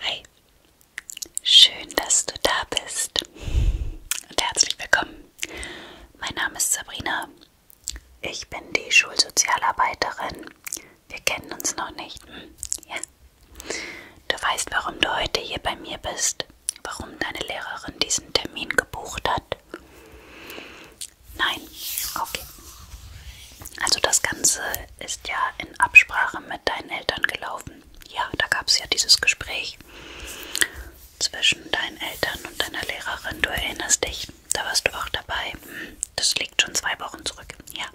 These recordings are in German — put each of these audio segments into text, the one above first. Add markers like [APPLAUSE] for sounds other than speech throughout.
Hi, schön, dass du da bist und herzlich willkommen. Mein Name ist Sabrina, ich bin die Schulsozialarbeiterin. Wir kennen uns noch nicht. Hm, ja. Du weißt, warum du heute hier bei mir bist, warum deine Lehrerin diesen Termin gebucht hat. Nein, okay. Also das Ganze ist ja in Absprache mit deinen Eltern gelaufen. Ja, da gab es ja dieses Gespräch zwischen deinen Eltern und deiner Lehrerin. Du erinnerst dich, da warst du auch dabei. Das liegt schon zwei Wochen zurück. Ja,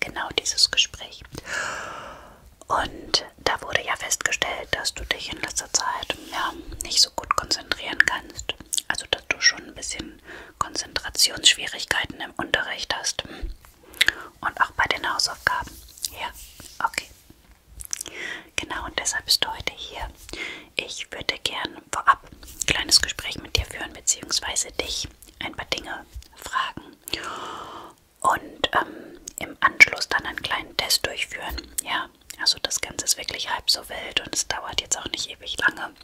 genau dieses Gespräch. Und da wurde ja festgestellt, dass du dich in letzter Zeit ja, nicht so gut konzentrieren kannst. Also, dass du schon ein bisschen Konzentrationsschwierigkeiten im Unterricht hast. Und auch bei den Hausaufgaben. Ja, okay. Genau, und deshalb bist du heute hier. Ich würde gern vorab ein kleines Gespräch mit dir führen, beziehungsweise dich ein paar Dinge fragen und ähm, im Anschluss dann einen kleinen Test durchführen. Ja, also das Ganze ist wirklich halb so wild und es dauert jetzt auch nicht ewig lange.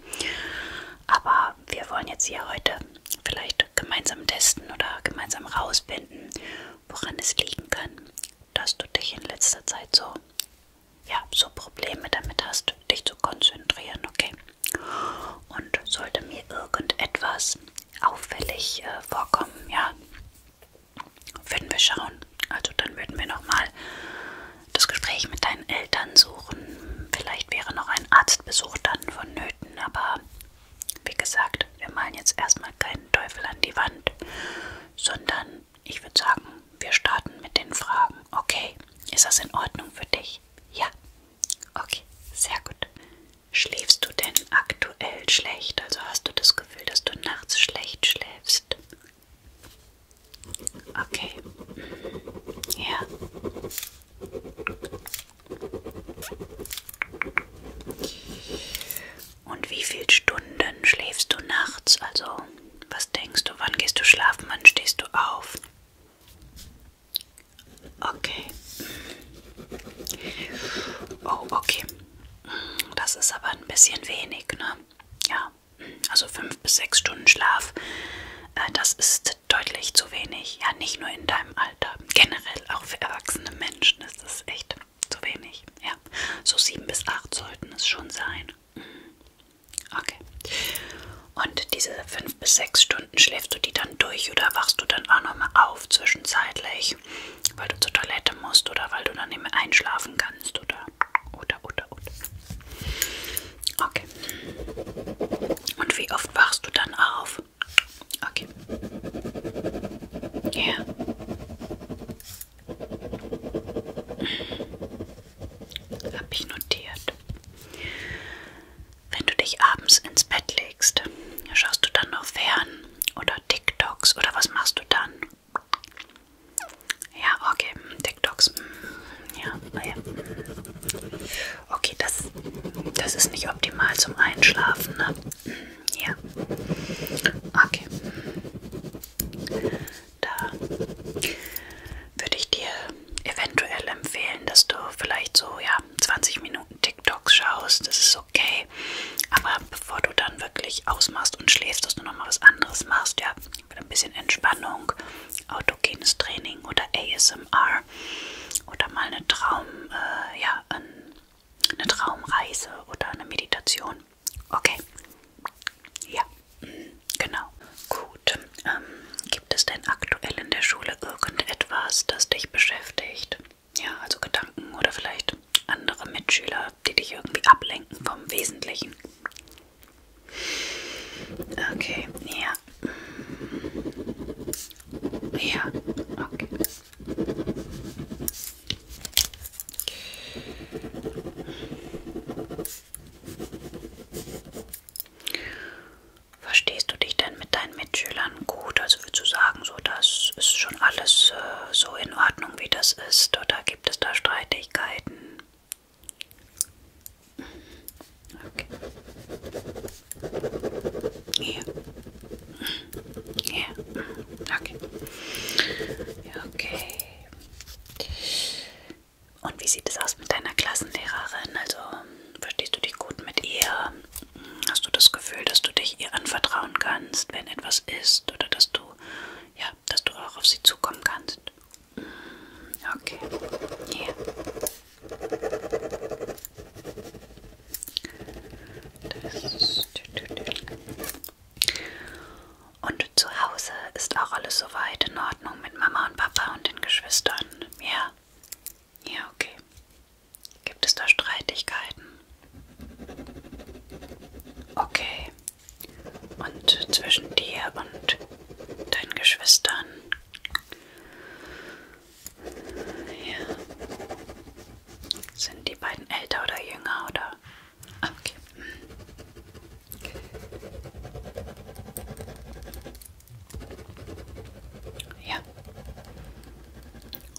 Aber aber wir wollen jetzt hier heute vielleicht gemeinsam testen oder gemeinsam rausfinden, woran es liegen kann, dass du dich in letzter Zeit so, ja, so Probleme damit hast, dich zu konzentrieren, okay? Und sollte mir irgendetwas auffällig äh, vorkommen, ja, würden wir schauen. Also dann würden wir nochmal das Gespräch mit deinem deinen Eltern suchen. Vielleicht wäre noch ein Arztbesuch dann vonnöten, aber wie gesagt, wir malen jetzt erstmal keinen Teufel an die Wand, sondern ich würde sagen, wir starten mit den Fragen. Okay, ist das in Ordnung für dich? Ja. Okay, sehr gut. Schläfst du denn aktuell schlecht? Also hast du das Gefühl, dass du nachts schlecht schläfst? Okay. Ja. Und wie viele Stunden schläfst du nachts? Also, was denkst du? Wann gehst du schlafen? Wann stehst du auf? Okay. Oh, okay. Das ist aber ein bisschen wenig, ne? Ja. Also fünf bis sechs Stunden Schlaf äh, das ist deutlich zu wenig. Ja, nicht nur in deinem Alter. Generell auch für erwachsene Menschen ist das echt zu wenig. Ja, so sieben bis acht sollten es schon sein. Mhm. Okay. Und diese fünf bis sechs Stunden schläfst du die dann durch oder wachst du dann auch nochmal auf zwischenzeitlich, weil du zur Toilette musst oder weil du dann nicht mehr einschlafen kannst oder, oder, oder, oder. Okay. Und wie oft wachst du dann auf? Okay. Ja. Yeah. Hab ich notiert. Wenn du dich abends ins Bett legst, schaust du dann noch fern oder TikToks oder was machst du dann? Ja, okay, TikToks. Mm, ja, naja. Okay, das, das ist nicht optimal zum Einschlafen, ne? Mm, ja. Okay. Da würde ich dir eventuell empfehlen, dass du vielleicht so, ja, 20 Minuten TikToks schaust. Das ist okay. Aber bevor du dann wirklich ausmachst und schläfst, dass du nochmal was anderes machst, ja, mit ein bisschen Entspannung, autogenes Training oder ASMR oder mal eine, Traum, äh, ja, eine Traumreise oder eine Meditation. Okay. Ja, mm, genau. Gut. Ähm, gibt es denn aktuell in der Schule irgendetwas, das dich beschäftigt? Ja, also Gedanken oder vielleicht andere Mitschüler, die dich irgendwie ablenken vom Wesentlichen. Okay, ja. Ja, okay. Verstehst du dich denn mit deinen Mitschülern gut? Also würdest du sagen, so das ist schon alles äh, so in Ordnung, wie das ist? Oder gibt es da Streitigkeiten? Okay. Ja. Ja. Okay. Okay. Und wie sieht es aus mit deiner Klassenlehrerin? Also verstehst du dich gut mit ihr? Hast du das Gefühl, dass du dich ihr anvertrauen kannst, wenn etwas ist, oder dass du ja, dass du auch auf sie zukommen kannst? Okay. Hier. Das. Und zu Hause ist auch alles soweit in Ordnung mit Mama und Papa und den Geschwistern. Ja. Ja, okay. Gibt es da Streitigkeiten? Okay. Und zwischen dir und deinen Geschwistern. Ja. Sind die beiden älter oder jünger oder? Ah, okay. Ja.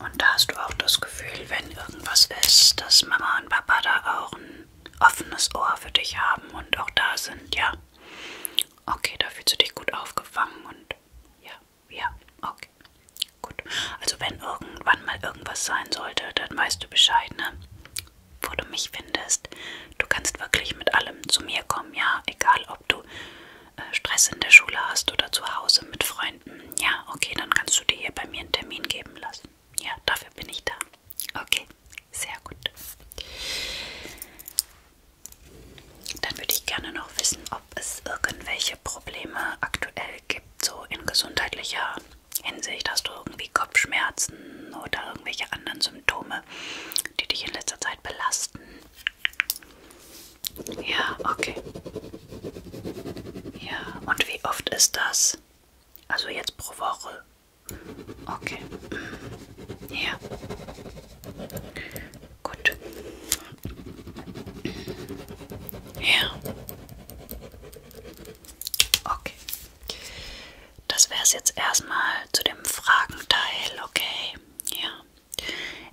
Und da hast du auch das Gefühl, wenn irgendwas ist, dass Mama und Papa da auch ein offenes Ohr für dich haben und auch da sind, ja. Okay, da fühlst du dich gut aufgefangen und ja, ja, okay. Gut. Also wenn irgendwann mal irgendwas sein sollte, dann weißt du Bescheid, ne? Wo du mich findest. Du kannst wirklich mit allem zu mir kommen, ja? Egal, ob du äh, Stress in der Schule hast oder zu Hause mit Freunden. Ja, okay, dann kannst du dir hier bei mir einen Termin geben lassen. Ja, dafür bin ich da. Okay, sehr gut. Dann würde ich gerne noch wissen, ob es irgendwelche Probleme aktuell gibt, so in gesundheitlicher Hinsicht. Hast du irgendwie Kopfschmerzen oder irgendwelche anderen Symptome, die dich in letzter Zeit belasten? Ja, okay. Ja, und wie oft ist das? Also jetzt pro Woche Okay. Ja. Gut. Ja. Okay. Das wäre es jetzt erstmal zu dem Fragenteil, okay? Ja.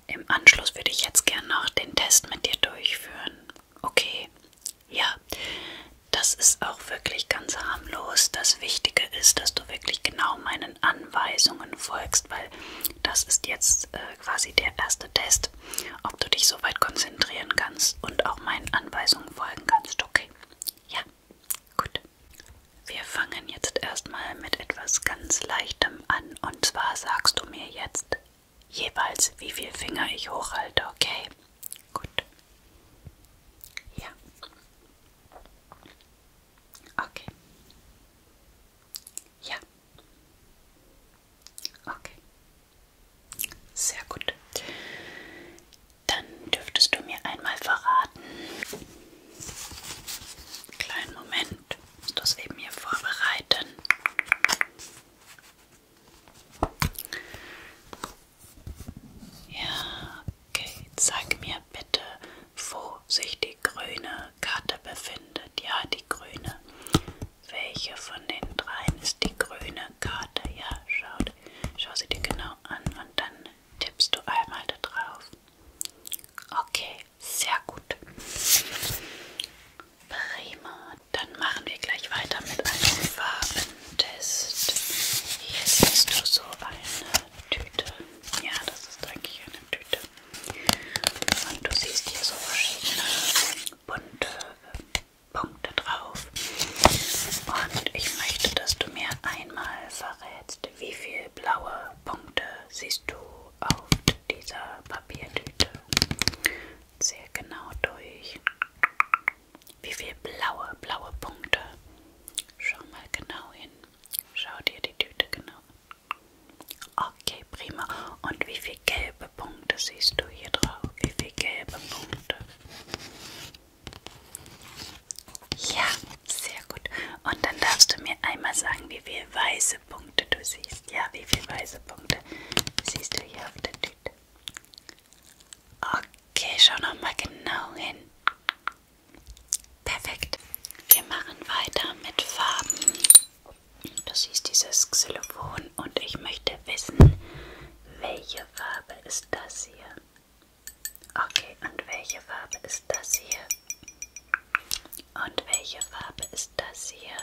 Im Anschluss würde ich jetzt gern noch den Test mit dir durchführen. Okay. Ja. Das ist auch wirklich ganz harmlos. Das Wichtige ist, dass du wirklich genau meinen Anweisungen folgst, weil das ist jetzt äh, quasi der erste Test, ob du dich so weit konzentrieren kannst und auch meinen Anweisungen folgen kannst. Okay. Ja, gut. Wir fangen jetzt erstmal mit etwas ganz Leichtem an. Und zwar sagst du mir jetzt jeweils, wie viele Finger ich hochhalte, okay? Gut. Ja. Okay. Ja. Okay. Sehr gut. Dann dürftest du mir einmal verraten. Kleinen Moment. Musst das eben hier vorbereiten. Ja, okay. Sag mir bitte, wo sich die grüne Karte befindet. Ja, die grüne. Welche von den dreien ist die grüne Karte? Ja, schau, schau sie dir genau an und dann tippst du einmal da drauf. Okay, sehr gut. Prima. Dann machen wir gleich weiter mit einer Farbe, Test. Hier siehst du so eine Tüte. Ja, das ist eigentlich eine Tüte. Und du siehst hier so verschiedene bunte Punkte drauf. Und ich möchte, dass du mir einmal verrätst, wie viele blaue Punkte siehst du auf dieser Papiertüte. Sehr genau durch. Wie viele blaue, blaue Punkte? Schau mal genau hin. Schau dir die Tüte genau an. Okay, prima. Und wie viele gelbe Punkte siehst du hier drauf? Wie viele gelbe Punkte? Ja, sehr gut. Und dann darfst du mir einmal sagen, wie viele weiße Punkte du siehst. Ja, wie viele weiße Punkte siehst du hier auf der Tüte? Gut. Okay, schau noch mal genau hin. Perfekt. Wir machen weiter mit Farben. Du siehst dieses Xylophon und ich möchte wissen, welche Farbe ist das hier? Okay, und welche Farbe ist das hier? Und welche Farbe ist das hier?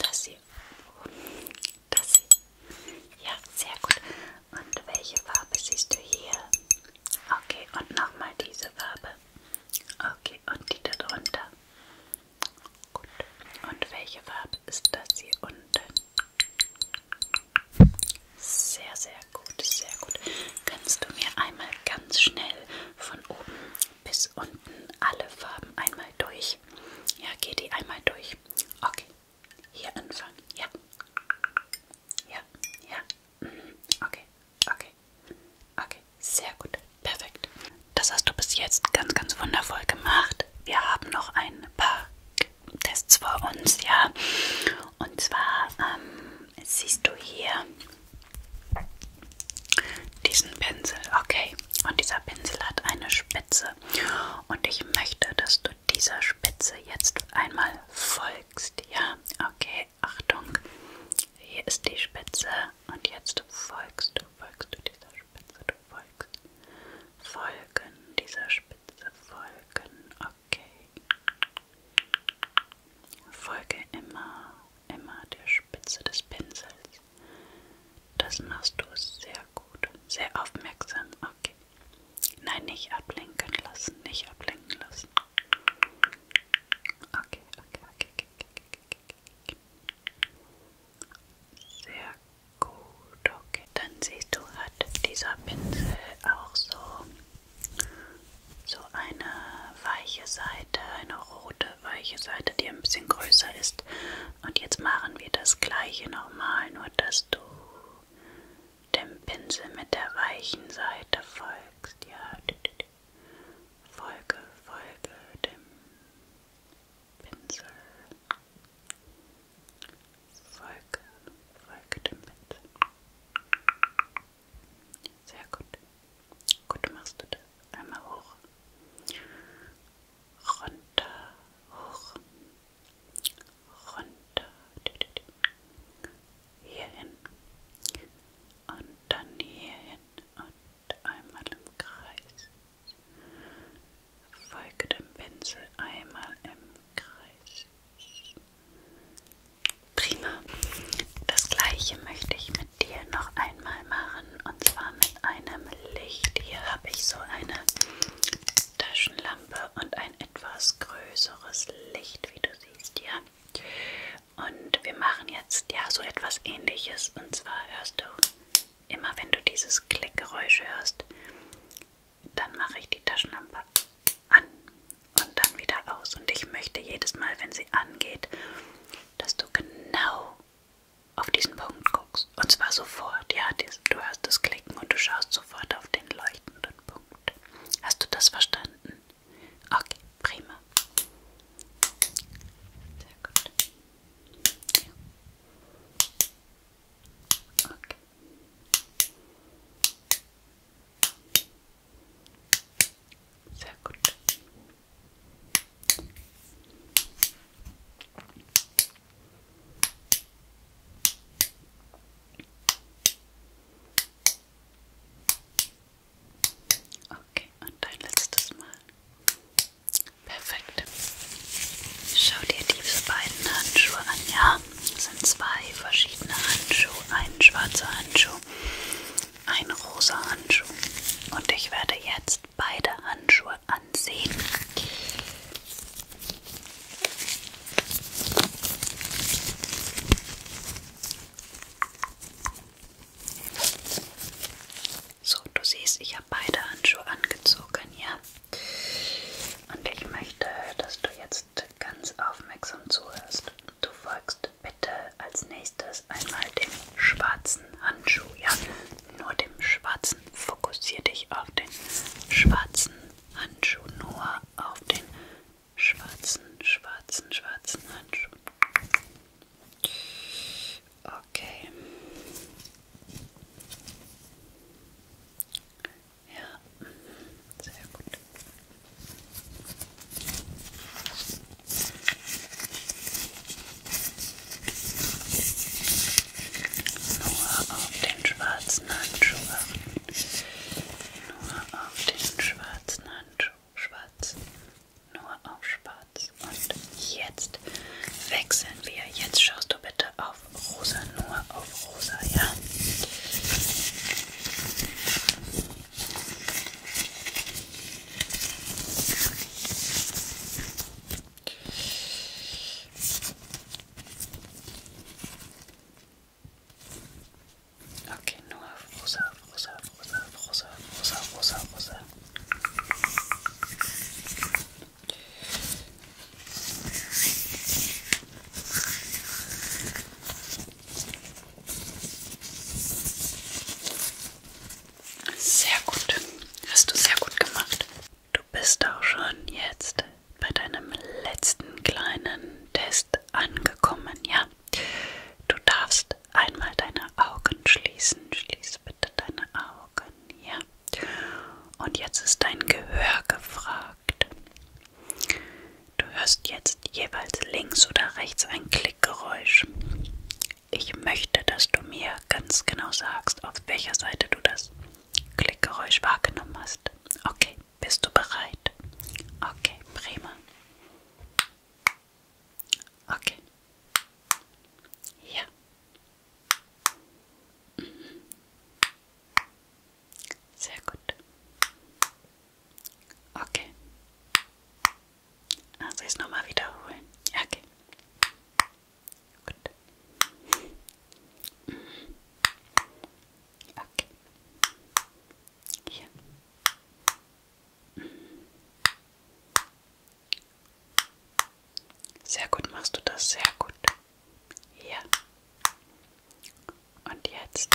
Das hier. Das hier. Ja, sehr gut. Und welche Farbe siehst du hier? Okay, und nochmal diese Farbe. Okay, und die darunter. Gut. Und welche Farbe ist das hier unten? Sehr, sehr gut, sehr gut. Kannst du mir einmal ganz schnell von oben bis unten alle Farben einmal durch? Ja, geh die einmal durch. Okay, hier anfangen. Ja. Ja. Ja. Mhm. Okay. Okay. Okay. Sehr gut. Perfekt. Das hast du bis jetzt ganz, ganz wundervoll gemacht. Wir haben noch ein paar Tests vor uns, ja. Und zwar ähm, siehst du hier diesen Pinsel, okay. Und dieser Pinsel hat eine Spitze. Und ich möchte, dass du dieser Spitze jetzt einmal folgst. Ja, okay, Achtung. Hier ist die Spitze und jetzt folgst du, folgst du dieser Spitze, du folgst. Folgen dieser Spitze, folgen, okay. Folge immer, immer der Spitze des Pinsels. Das machst du sehr weiter gut. Sehr aufmerksam. Okay. Nein, nicht ablenken lassen. Nicht ablenken lassen. Okay, okay, okay, okay, okay, okay. Sehr gut. Okay. Dann siehst du, hat dieser Pinsel auch so, so eine weiche Seite, eine rote weiche Seite, die ein bisschen größer ist. Und jetzt machen wir das gleiche nochmal, nur dass dass du dem Pinsel mit der weichen Seite folgst. Ja, folge, folge dem Pinsel. Folge, folge dem Pinsel. Sehr gut. Gut machst du das. Einmal hoch. Runter, hoch, runter, hierhin und dann hierhin und einmal im Kreis. Folge dem Pinsel einmal im Kreis. Prima. Das gleiche möchte ich mit dir noch einmal machen und zwar mit einem Licht. Hier habe ich so eine Taschenlampe und ein etwas größeres Licht, wie du siehst, ja. Und wir machen jetzt ja so etwas ähnliches. Und zwar hörst du immer, wenn du dieses Klickgeräusch hörst, dann mache ich die Taschenlampe an und dann wieder aus. Und ich möchte jedes Mal, wenn sie angeht, dass du genau auf diesen Punkt guckst. Und zwar sofort, ja, du hörst das Klicken und du schaust sofort auf den leuchtenden Punkt. Hast du das verstanden? Okay, prima. Sehr gut. Ja. Okay. Sehr gut. Okay, und ein letztes Mal. Perfekt. Schau dir diese beiden Handschuhe an, ja? Das sind zwei verschiedene Handschuhe. Ein schwarzer Handschuh, ein rosa Handschuh. Und ich werde jetzt beide Handschuhe an ansehen. So, du siehst, ich habe beide Handschuhe angezogen, ja. Und ich möchte, dass du jetzt ganz aufmerksam zuhörst. Du folgst bitte als nächstes einmal dem schwarzen Handschuh, ja nur dem schwarzen. Fokussiere dich auf den schwarzen Handschuh, nur auf den schwarzen, schwarzen, schwarzen Handschuh. Okay. Ja, sehr gut. Nur auf den schwarzen Handschuh Nur auf den schwarzen Handschuh. Schwarz. Nur auf schwarz. Und jetzt wechseln wir. Jetzt schaust du bitte auf rosa. Nur auf rosa, ja? Okay, nur auf rosa, auf rosa, auf rosa, auf rosa, auf rosa, auf rosa, auf rosa. Sehr gut. Hast du sehr gut gemacht. Du bist auch schon jetzt bei deinem letzten kleinen Test angekommen, ja? Du darfst einmal deine Augen schließen. Schließ bitte deine Augen, ja? Und jetzt ist dein Gehör gefragt. Du hörst jetzt jeweils links oder rechts ein Klickgeräusch. Ich möchte, dass du mir ganz genau sagst, auf welcher Seite du das Klickgeräusch wahrgenommen hast. Okay, bist du bereit? Okay, prima. Okay. Ja. Mhm. Sehr gut. Okay. Also ah, jetzt nochmal wiederholen. Okay. Gut. Okay. Hier. Sehr gut machst du das, sehr gut. Hier. Und jetzt.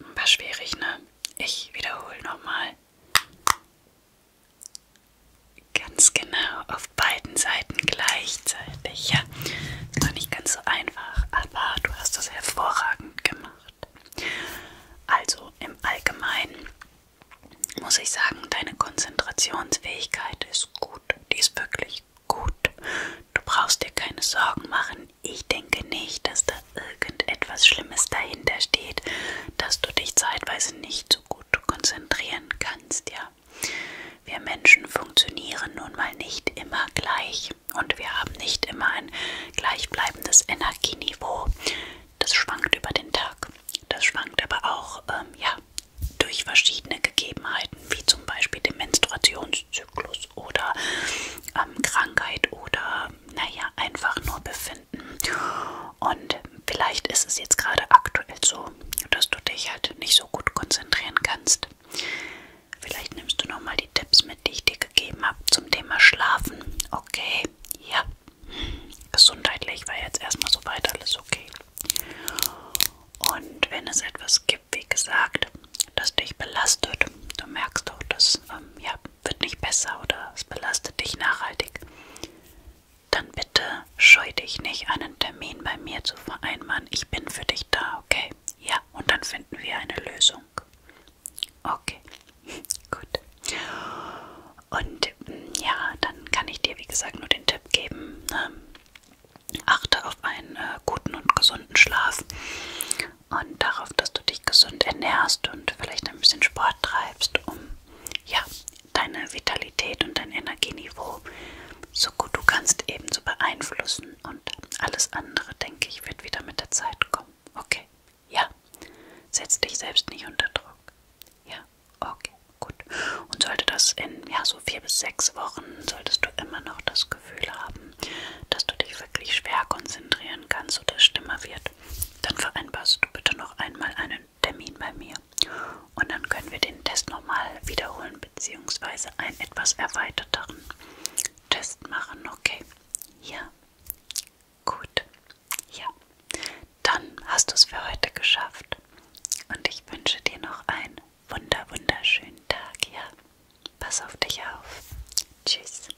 War schwierig, ne? Ich wiederhole nochmal. Ganz genau, auf beiden Seiten gleichzeitig. Ja, war nicht ganz so einfach, aber du hast das hervorragend gemacht. Also im Allgemeinen muss ich sagen, deine Konzentrationsfähigkeit ist gut. Die ist wirklich gut. Du brauchst dir keine Sorgen machen. Ich denke nicht, dass da irgendetwas Schlimmes dahinter steht, dass du dich zeitweise nicht so gut konzentrieren kannst, ja. Wir Menschen funktionieren nun mal nicht immer gleich und wir haben nicht immer ein gleichbleibendes Energieniveau. Das schwankt über den Tag. Das schwankt aber auch ähm, ja, durch verschiedene Gegebenheiten, wie zum Beispiel den Menstruationszyklus oder ähm, Krankheit oder naja, einfach nur befinden. Und vielleicht ist es jetzt gerade aktuell so, dass du dich halt nicht so gut konzentrieren kannst. Vielleicht nimmst du nochmal die Tipps mit, die ich dir gegeben habe zum Thema Schlafen. Okay, ja. Gesundheitlich war jetzt erstmal soweit alles okay. Und wenn es etwas gibt, wie gesagt, das dich belastet, du merkst auch, dass ähm, ja, wird nicht besser oder es belastet dich nachhaltig, dann bitte scheu dich nicht, einen Termin bei mir zu vereinbaren. Ich bin für dich da, okay? Ja, und dann finden wir eine Lösung. Okay, [LAUGHS] gut. Und mm, ja, dann kann ich dir, wie gesagt, nur den Tipp geben. Ähm, achte auf einen äh, guten und gesunden Schlaf und darauf, dass du dich gesund ernährst und vielleicht ein bisschen Sport treibst, um ja, deine Vitalität und dein Energieniveau so gut du kannst ebenso beeinflussen und alles andere, denke ich, wird wieder mit der Zeit kommen. Okay, ja, setz dich selbst nicht unter Druck. Ja, okay, gut. Und sollte das in ja, so vier bis sechs Wochen, solltest du immer noch das Gefühl haben, dass du dich wirklich schwer konzentrieren kannst oder schlimmer wird, dann vereinbarst du bitte noch einmal einen Termin bei mir. Und dann können wir den Test nochmal wiederholen, beziehungsweise einen etwas erweiterteren Test machen. Okay? Ja. Gut. Ja. Dann hast du es für heute geschafft. Und ich wünsche dir noch einen wunder wunderschönen Tag. Ja. Pass auf dich auf. Tschüss.